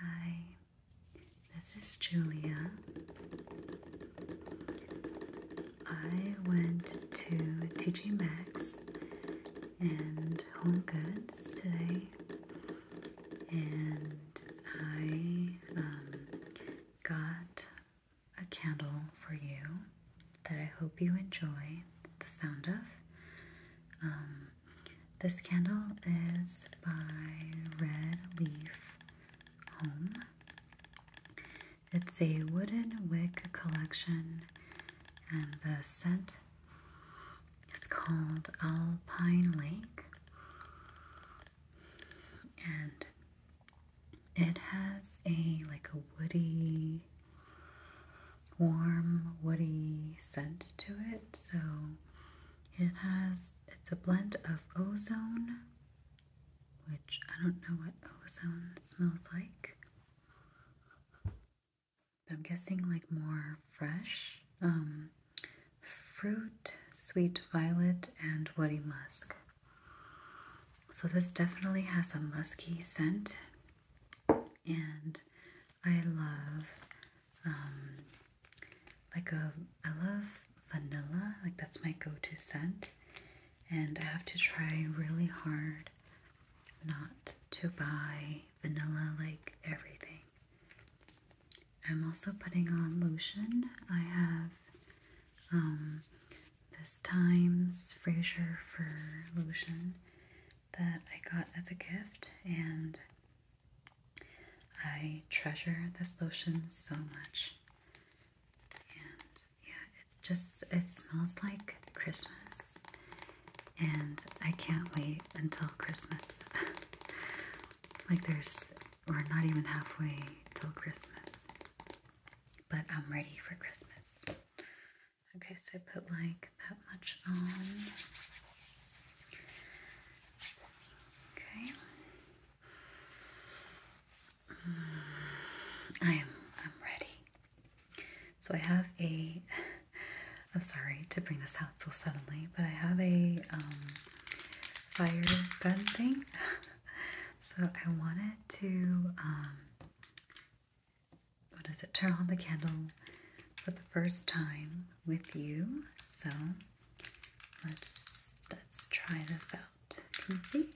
Hi, this is Julia. I went to TJ Maxx and Home Goods today, and I um, got a candle for you that I hope you enjoy the sound of. Um, this candle is by Red Leaf Home. It's a wooden wick collection, and the scent is called Alpine Lake. And it has a like a woody warm woody scent to it. So it has it's a blend of ozone, which I don't know what ozone smells like. but I'm guessing like more fresh um, fruit, sweet violet, and woody musk. So this definitely has a musky scent, and I love um, like a I love vanilla, like that's my go-to scent, and I have to try really hard not to buy vanilla like everything. I'm also putting on lotion. I have um, this Times Fraser for Lotion that I got as a gift, and I treasure this lotion so much. And yeah, it just it smells like Christmas, and I can't wait until Christmas. like there's we're not even halfway till Christmas, but I'm ready for Christmas. Okay, so I put like that much on. Okay. Mm, I am I'm ready. So I have a I'm sorry to bring this out so suddenly, but I have a um, fire gun thing. so I wanted to um, what does it, turn on the candle for the first time with you. So let's let's try this out. Can you see?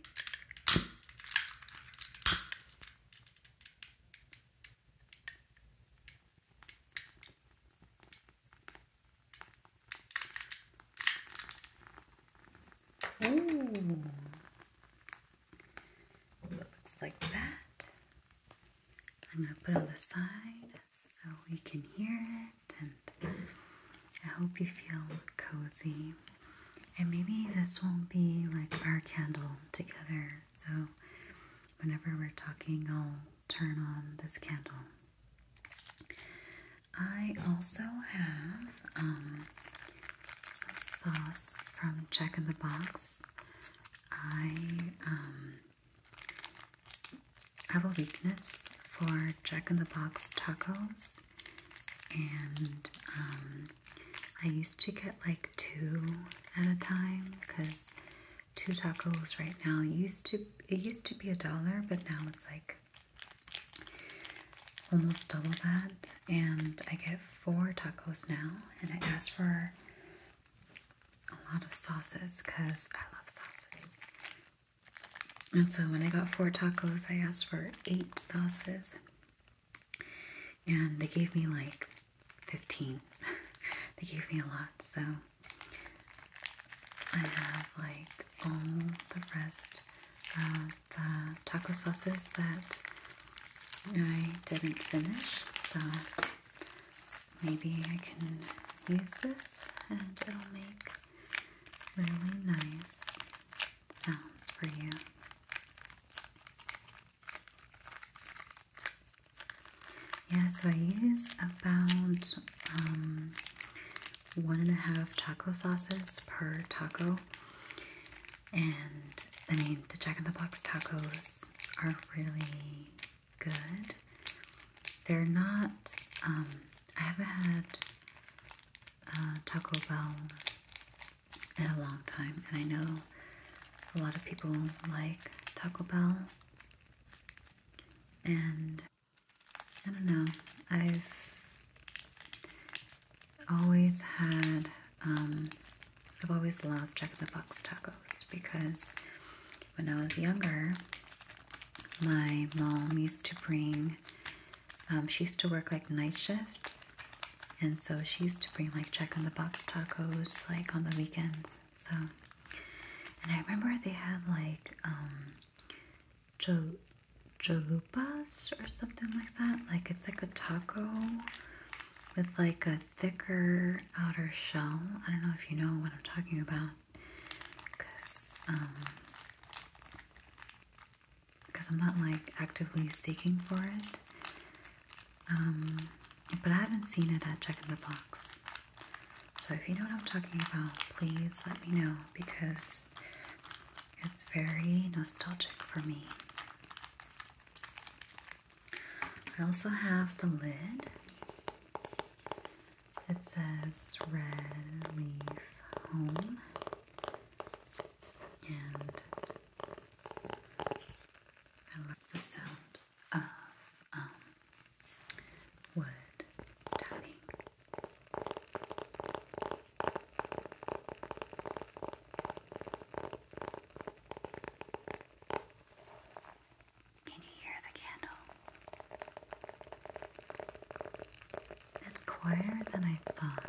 Oh, it looks like that. I'm going to put on the side so we can hear it and I hope you feel cozy. And maybe this won't be like our candle together. So whenever we're talking, I'll turn on this candle. I also have um, some sauce from Jack in the Box. I um, I have a weakness for Jack in the Box tacos, and um, I used to get like two at a time because two tacos right now used to it used to be a dollar, but now it's like almost double that, and I get four tacos now, and I ask for a lot of sauces because I love sauces. And so when I got four tacos, I asked for eight sauces. And they gave me like 15. they gave me a lot. So I have like all the rest of the taco sauces that I didn't finish. So maybe I can use this and it'll make really nice sounds for you. Yeah, so I use about um, one and a half taco sauces per taco. And I mean, the Jack in the Box tacos are really good. They're not, um, I haven't had uh, Taco Bell in a long time, and I know a lot of people like Taco Bell, and I don't know, I've always had um, I've always loved Jack in the Box tacos because when I was younger, my mom used to bring, um, she used to work like night shift. And so she used to bring like Jack in the Box tacos like on the weekends. So, and I remember they had like, um, or something like that. Like it's like a taco with like a thicker outer shell. I don't know if you know what I'm talking about because um, I'm not like actively seeking for it. Um, but I haven't seen it at Check in the Box. So if you know what I'm talking about, please let me know because it's very nostalgic for me. I also have the lid. It says Red Leaf Home. And I love the sound of um, wood tapping. Can you hear the candle? It's quieter than I thought.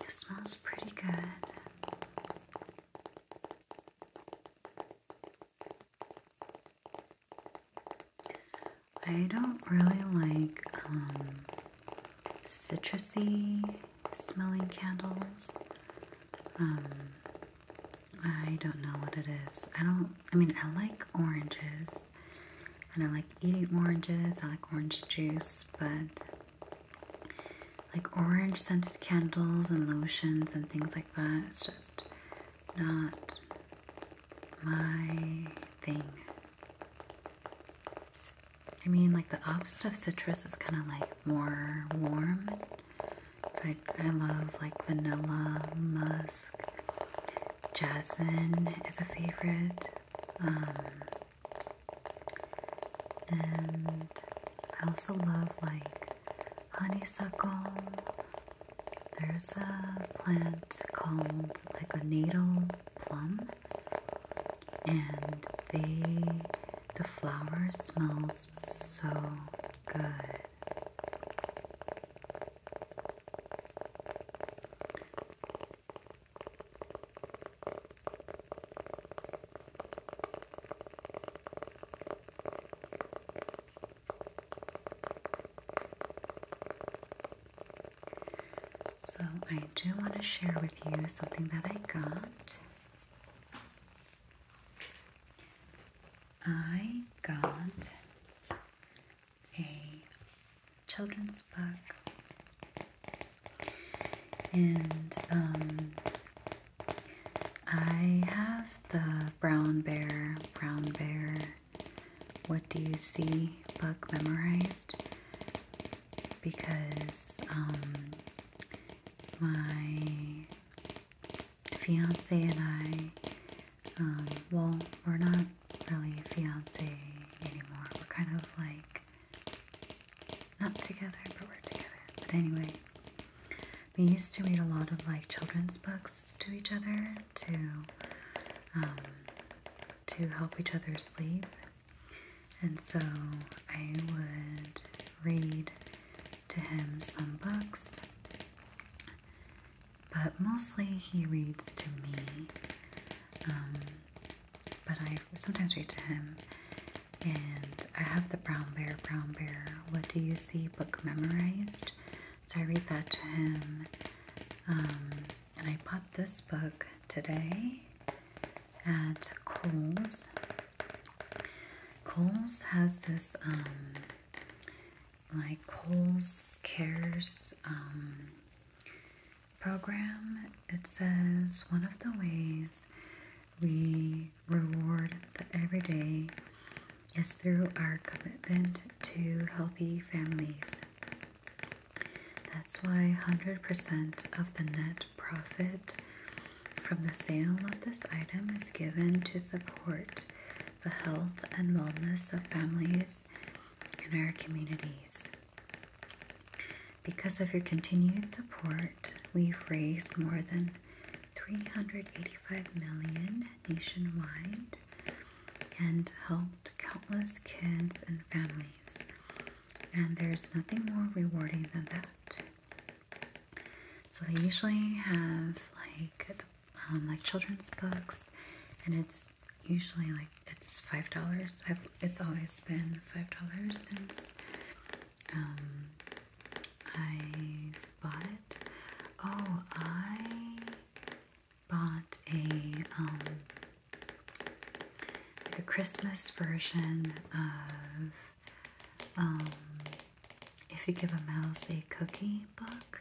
It smells pretty good. I don't really like um, citrusy smelling candles. Um, I don't know what it is. I don't, I mean, I like oranges. And I like eating oranges. I like orange juice, but like orange scented candles and lotions and things like that. It's just not my thing. I mean, like the opposite of citrus is kind of like more warm. So I love like vanilla, musk, Jasmine is a favorite. Um, and I also love like honeysuckle. There's a plant called like a natal plum, and they the flower smells so good. So, I do want to share with you something that I got. I got a children's book, and um, I have the Brown Bear, Brown Bear, What Do You See book memorized because um, my fiance and I, um, well, we're not really a fiance anymore. We're kind of like not together, but we're together. But anyway, we used to read a lot of like children's books to each other to um, to help each other sleep. And so I would read to him some books but mostly he reads to me. Um, but I sometimes read to him. And I have the Brown Bear, Brown Bear, What Do You See book memorized. So I read that to him. Um, and I bought this book today at Kohl's. Kohl's has this um, like Kohl's Cares um, program, it says one of the ways we reward the everyday is through our commitment to healthy families. That's why 100% of the net profit from the sale of this item is given to support the health and wellness of families in our communities. Because of your continued support, we've raised more than 385 million nationwide and helped countless kids and families. And there's nothing more rewarding than that. So they usually have like um, like children's books, and it's usually like it's five dollars. it's always been five dollars since um, I bought it. Oh, I bought a um, like a Christmas version of um, if you give a mouse a cookie book,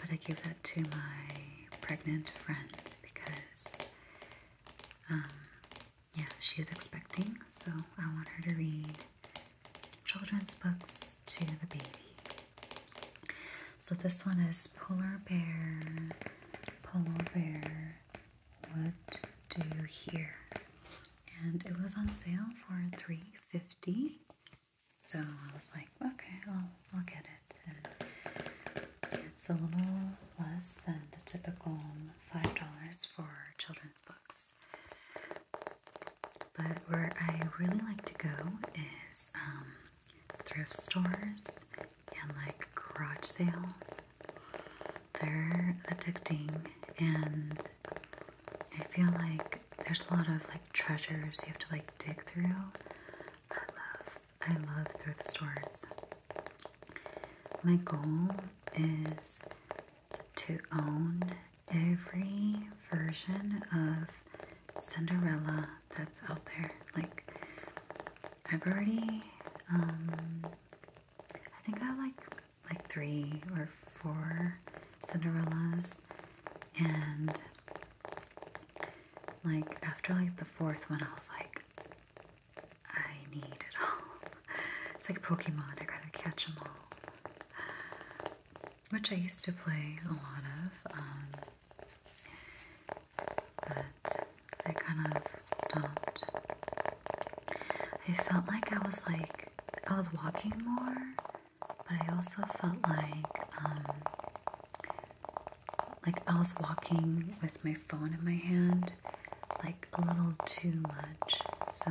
but I give that to my pregnant friend because, um, yeah, she is expecting, so I want her to read children's books to the baby. So this one is Polar Bear, Polar Bear, What Do You Hear? And it was on sale for $3.50 so I was like, okay, I'll, I'll get it. And it's a little less than the typical $5 for children's books. But where I really like to go is um, thrift stores and like garage sales. They're addicting, and I feel like there's a lot of like treasures you have to like dig through. I love I love thrift stores. My goal is to own every version of Cinderella that's out there. Like I've already um I think I have like like three or four Cinderellas and like after like the fourth one I was like I need it all. It's like Pokemon, I gotta catch them all. Which I used to play a lot of, um, but I kind of stopped. I felt like I was like, I was walking more but I also felt like, um, like I was walking with my phone in my hand, like a little too much. So.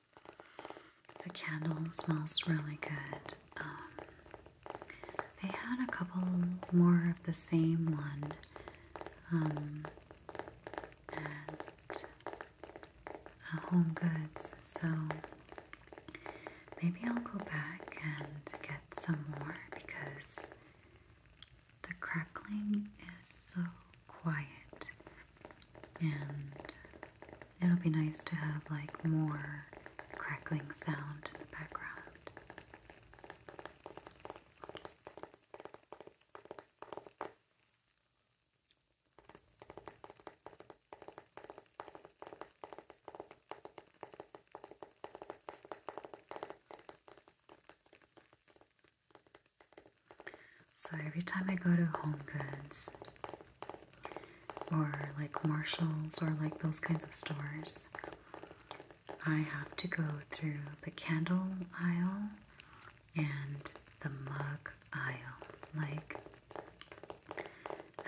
The candle smells really good. Um, had a couple more of the same one. Um, at uh, Home Goods, so maybe I'll go back and get some more because the crackling is so quiet and it'll be nice to have like more crackling sound in the background. So every time I go to Home or like Marshalls or like those kinds of stores, I have to go through the candle aisle and the mug aisle. Like,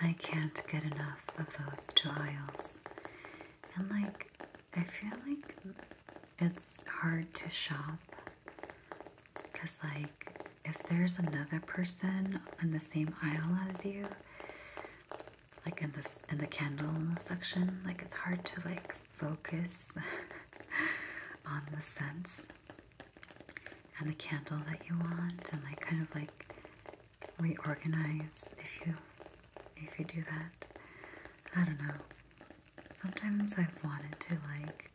I can't get enough of those two aisles. And like, I feel like it's hard to shop because, like, if there's another person in the same aisle as you, like in this in the candle section, like it's hard to like focus on the scents and the candle that you want, and like kind of like reorganize if you if you do that. I don't know. Sometimes I've wanted to like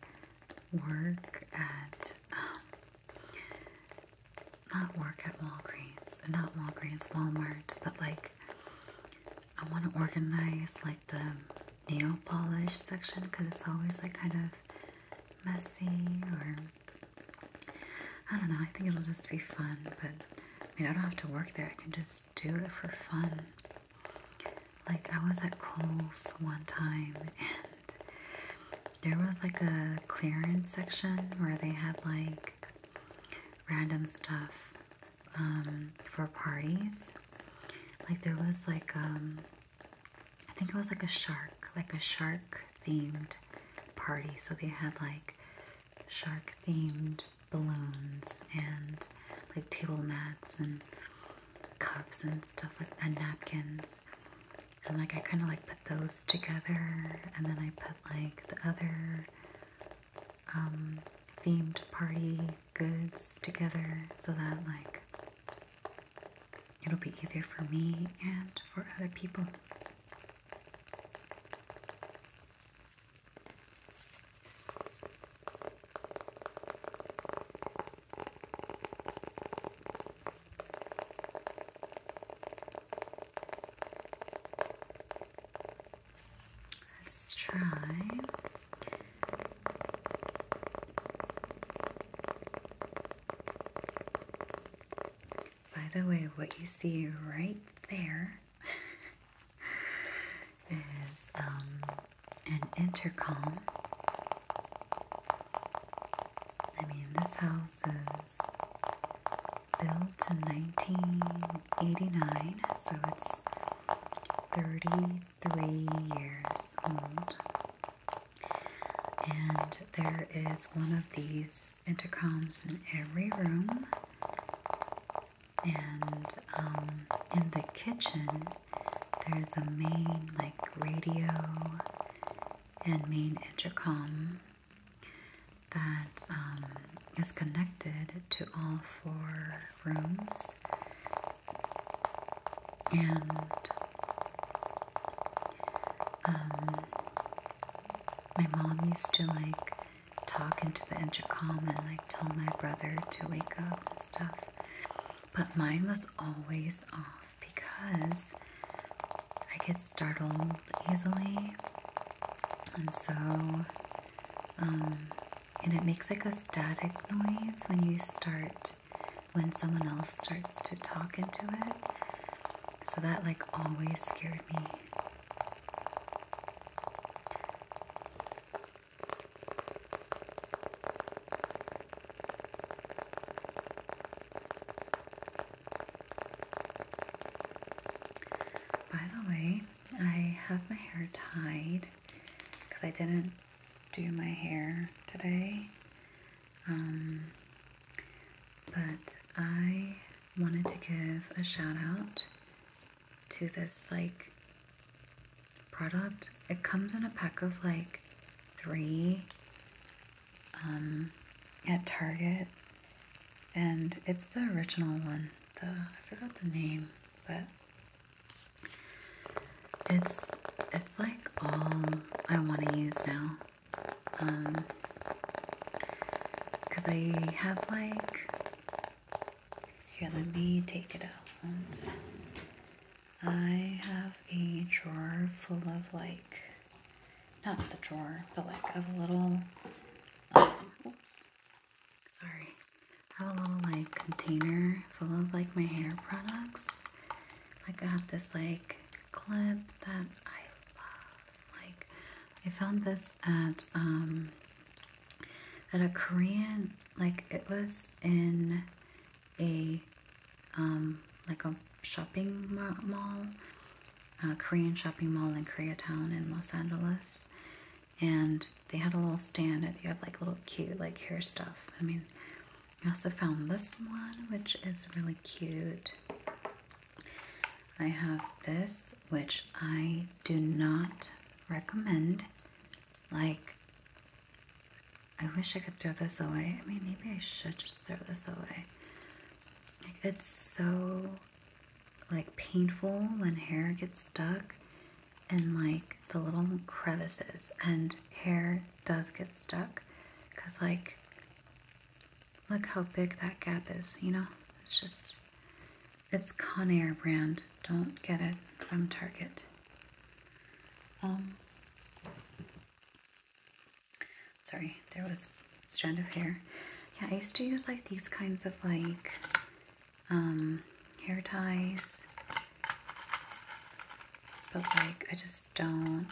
work at not work at Walgreens, and not Walgreens, Walmart, but like I want to organize like the nail polish section because it's always like kind of messy or I don't know. I think it'll just be fun, but I mean I don't have to work there. I can just do it for fun. Like I was at Kohl's one time and there was like a clearance section where they had like random stuff um, for parties. Like there was like um, I think it was like a shark, like a shark themed party. So they had like shark themed balloons and like table mats and cups and stuff like and napkins and like I kind of like put those together and then I put like the other um, themed party goods together so that like it'll be easier for me and for other people. Let's try. By the way, what you see right there is um, an intercom I mean, this house is built in 1989, so it's 33 years old. And there is one of these intercoms in every room. And um, in the kitchen, there's a main like radio and main intercom that um, is connected to all four rooms, and um, my mom used to like talk into the intercom and like tell my brother to wake up and stuff, but mine was always off because I get startled easily, and so um, and it makes like a static noise when you start when someone else starts to talk into it. So that like always scared me. By the way, I have my hair tied because I didn't do my hair today. Um, but I wanted to give a shout out to this like product. It comes in a pack of like three um, at Target, and it's the original one. The I forgot the name, but it's it's like all I want to use now. Um, cause I have like here. Let me take it out. I have a drawer full of like, not the drawer, but like of little, um, oops, sorry, I have a little like container full of like my hair products. Like I have this like clip that I love. Like I found this at, um, at a Korean, like it was in a um, like a shopping mall, Korean shopping mall in Koreatown in Los Angeles, and they had a little stand they have like little cute like hair stuff. I mean, I also found this one which is really cute. I have this which I do not recommend. Like, I wish I could throw this away. I mean, maybe I should just throw this away. it's so, like, painful when hair gets stuck and, like, the little crevices. And hair does get stuck. Because, like, look how big that gap is, you know? It's just, it's Conair brand. Don't get it from Target. Um, sorry, there was strand of hair. Yeah, I used to use like these kinds of like um, hair ties, but like I just don't.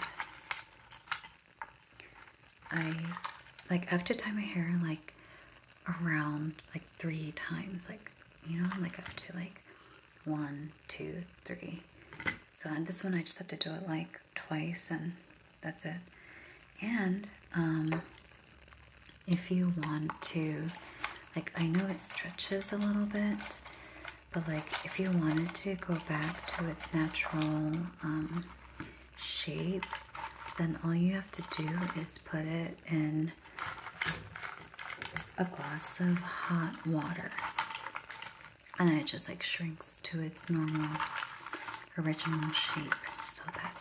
I like have to tie my hair like around like three times, like you know, like up to like one, two, three. So this one, I just have to do it like twice and that's it. And um, if you want to, like I know it stretches a little bit, but like if you wanted to go back to its natural um, shape, then all you have to do is put it in a glass of hot water and then it just like shrinks to its normal original shape so that's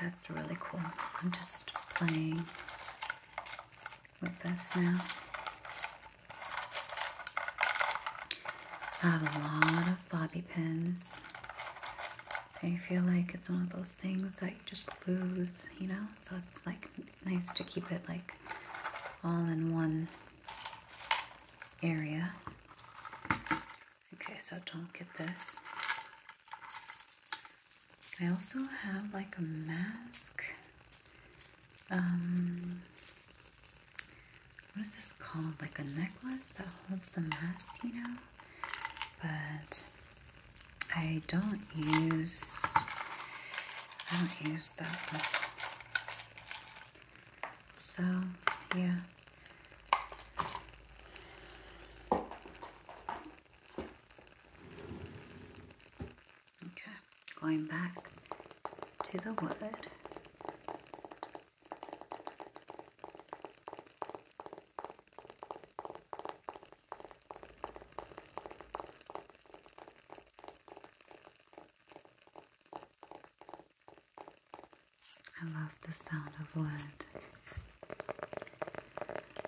that's really cool i'm just playing with this now i have a lot of bobby pins i feel like it's one of those things that you just lose you know so it's like nice to keep it like all in one area. Okay, so don't get this. I also have like a mask. Um, what is this called? Like a necklace that holds the mask, you know? But I don't use I don't use that one. So yeah. Okay, going back to the word. I love the sound of wood.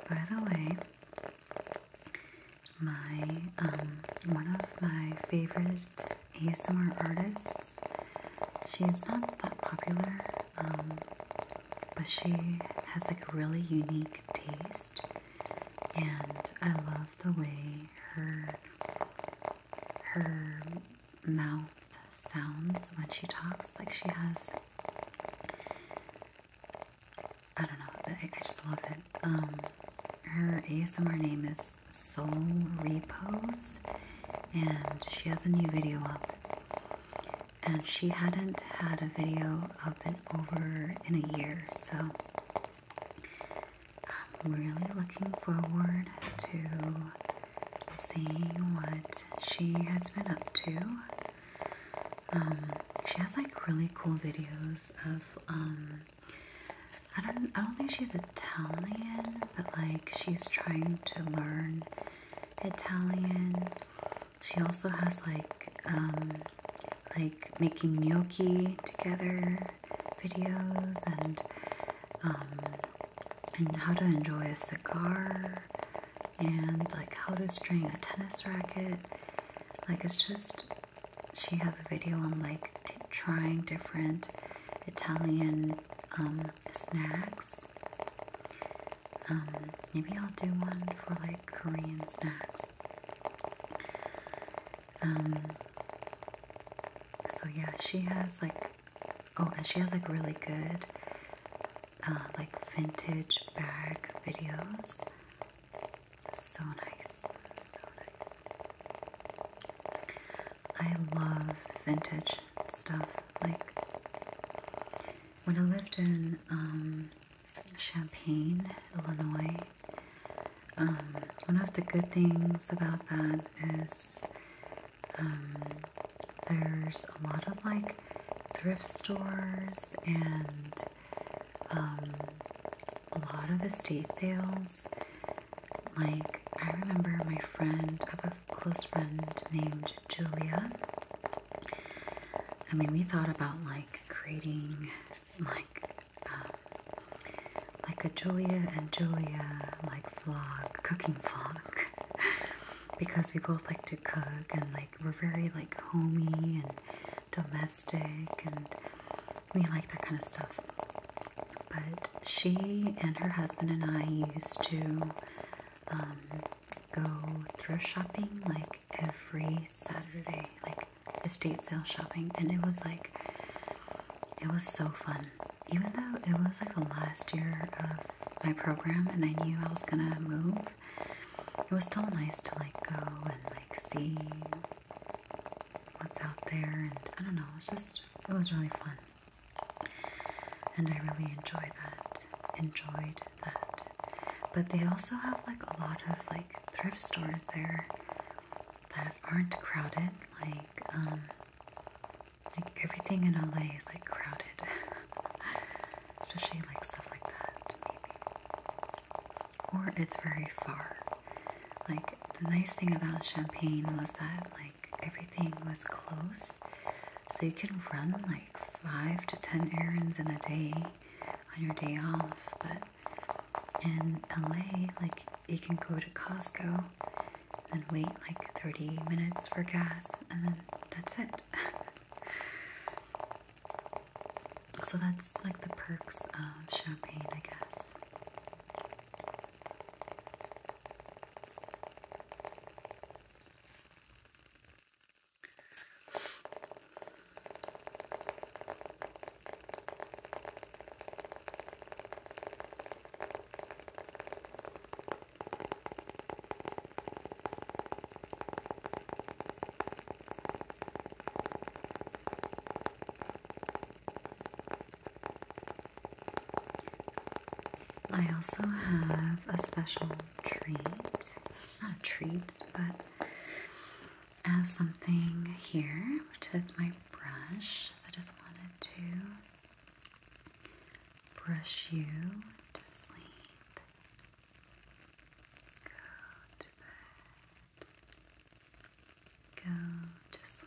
By the way, my um, one of my favorite ASMR artists. She's not that popular, um, but she has like a really unique taste and I love the way her her mouth sounds when she talks. Like she has, I don't know. I, I just love it. Um, her ASMR name is Soul Repose, and she has a new video up. And she hadn't had a video I've been over in a year. So I'm really looking forward to seeing what she has been up to. Um, she has like really cool videos of um, I don't I don't think she's Italian, but like she's trying to learn Italian she also has like um, like making gnocchi together videos and um, and how to enjoy a cigar and like how to string a tennis racket. Like it's just she has a video on like trying different Italian um, snacks. maybe I'll do one for like Korean snacks. Um, so yeah, she has like, oh, and she has like really good, uh, like vintage bag videos. So nice, I love vintage stuff. Like when I lived in um, Champaign, Illinois. Um, one of the good things about that is um, there's a lot of like thrift stores and um, a lot of estate sales. Like, I remember my friend, I have a close friend named Julia. I mean, we thought about like like creating like um, like a Julia and Julia like vlog, cooking vlog, because we both like to cook and like we're very like homey and domestic and we like that kind of stuff. But she and her husband and I used to um, go thrift shopping like every Saturday, like estate sale shopping, and it was like it was so fun. Even though it was like the last year of my program, and I knew I was gonna move, it was still nice to like go and like see what's out there, and I don't know, It was just it was really fun, and I really enjoyed that. Enjoyed but they also have like a lot of like thrift stores there that aren't crowded. Like um like everything in LA is like crowded. Especially like stuff like that, Or it's very far. Like the nice thing about Champagne was that like everything was close. So you can run like five to ten errands in a day on your day off, but in LA, like you can go to Costco and wait like 30 minutes for gas, and then that's it. so that's like the perks of champagne, I guess. I also have a special treat, not a treat, but as something here, which is my brush. I just wanted to brush you to sleep. Go to sleep. Go to sleep.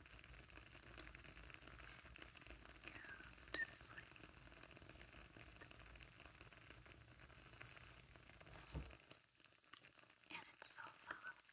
Go to sleep. And it's so soft. Good.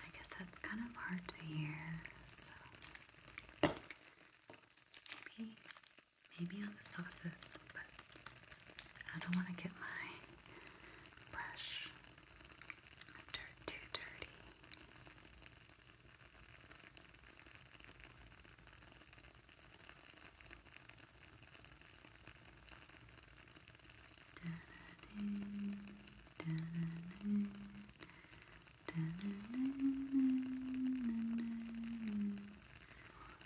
I guess that's kind of hard to hear, so maybe, maybe on the sauces, I don't want to get my brush too dirty.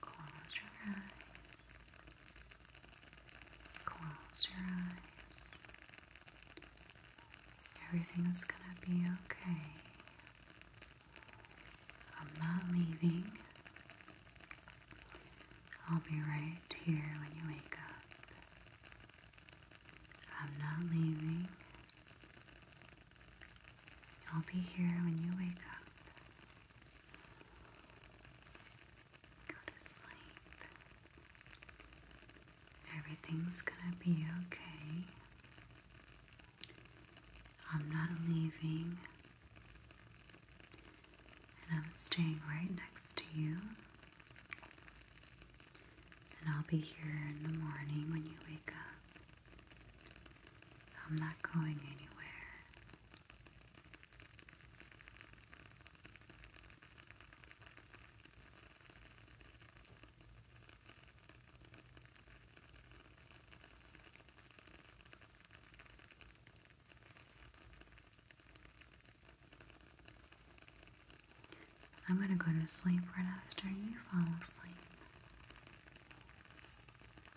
Close your eyes. Close your eyes. Everything's gonna be okay. I'm not leaving. I'll be right here when you wake up. I'm not leaving. I'll be here when you wake up. Go to sleep. Everything's gonna be okay. I'm not leaving, and I'm staying right next to you. And I'll be here in the morning when you wake up. I'm not going anywhere. I'm going to go to sleep right after you fall asleep.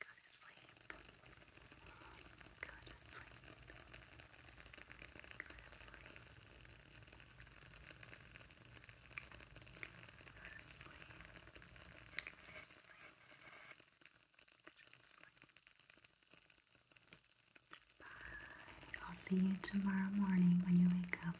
Go to sleep. Go to sleep. Go to sleep. Go to sleep. Bye. I'll see you tomorrow morning when you wake up.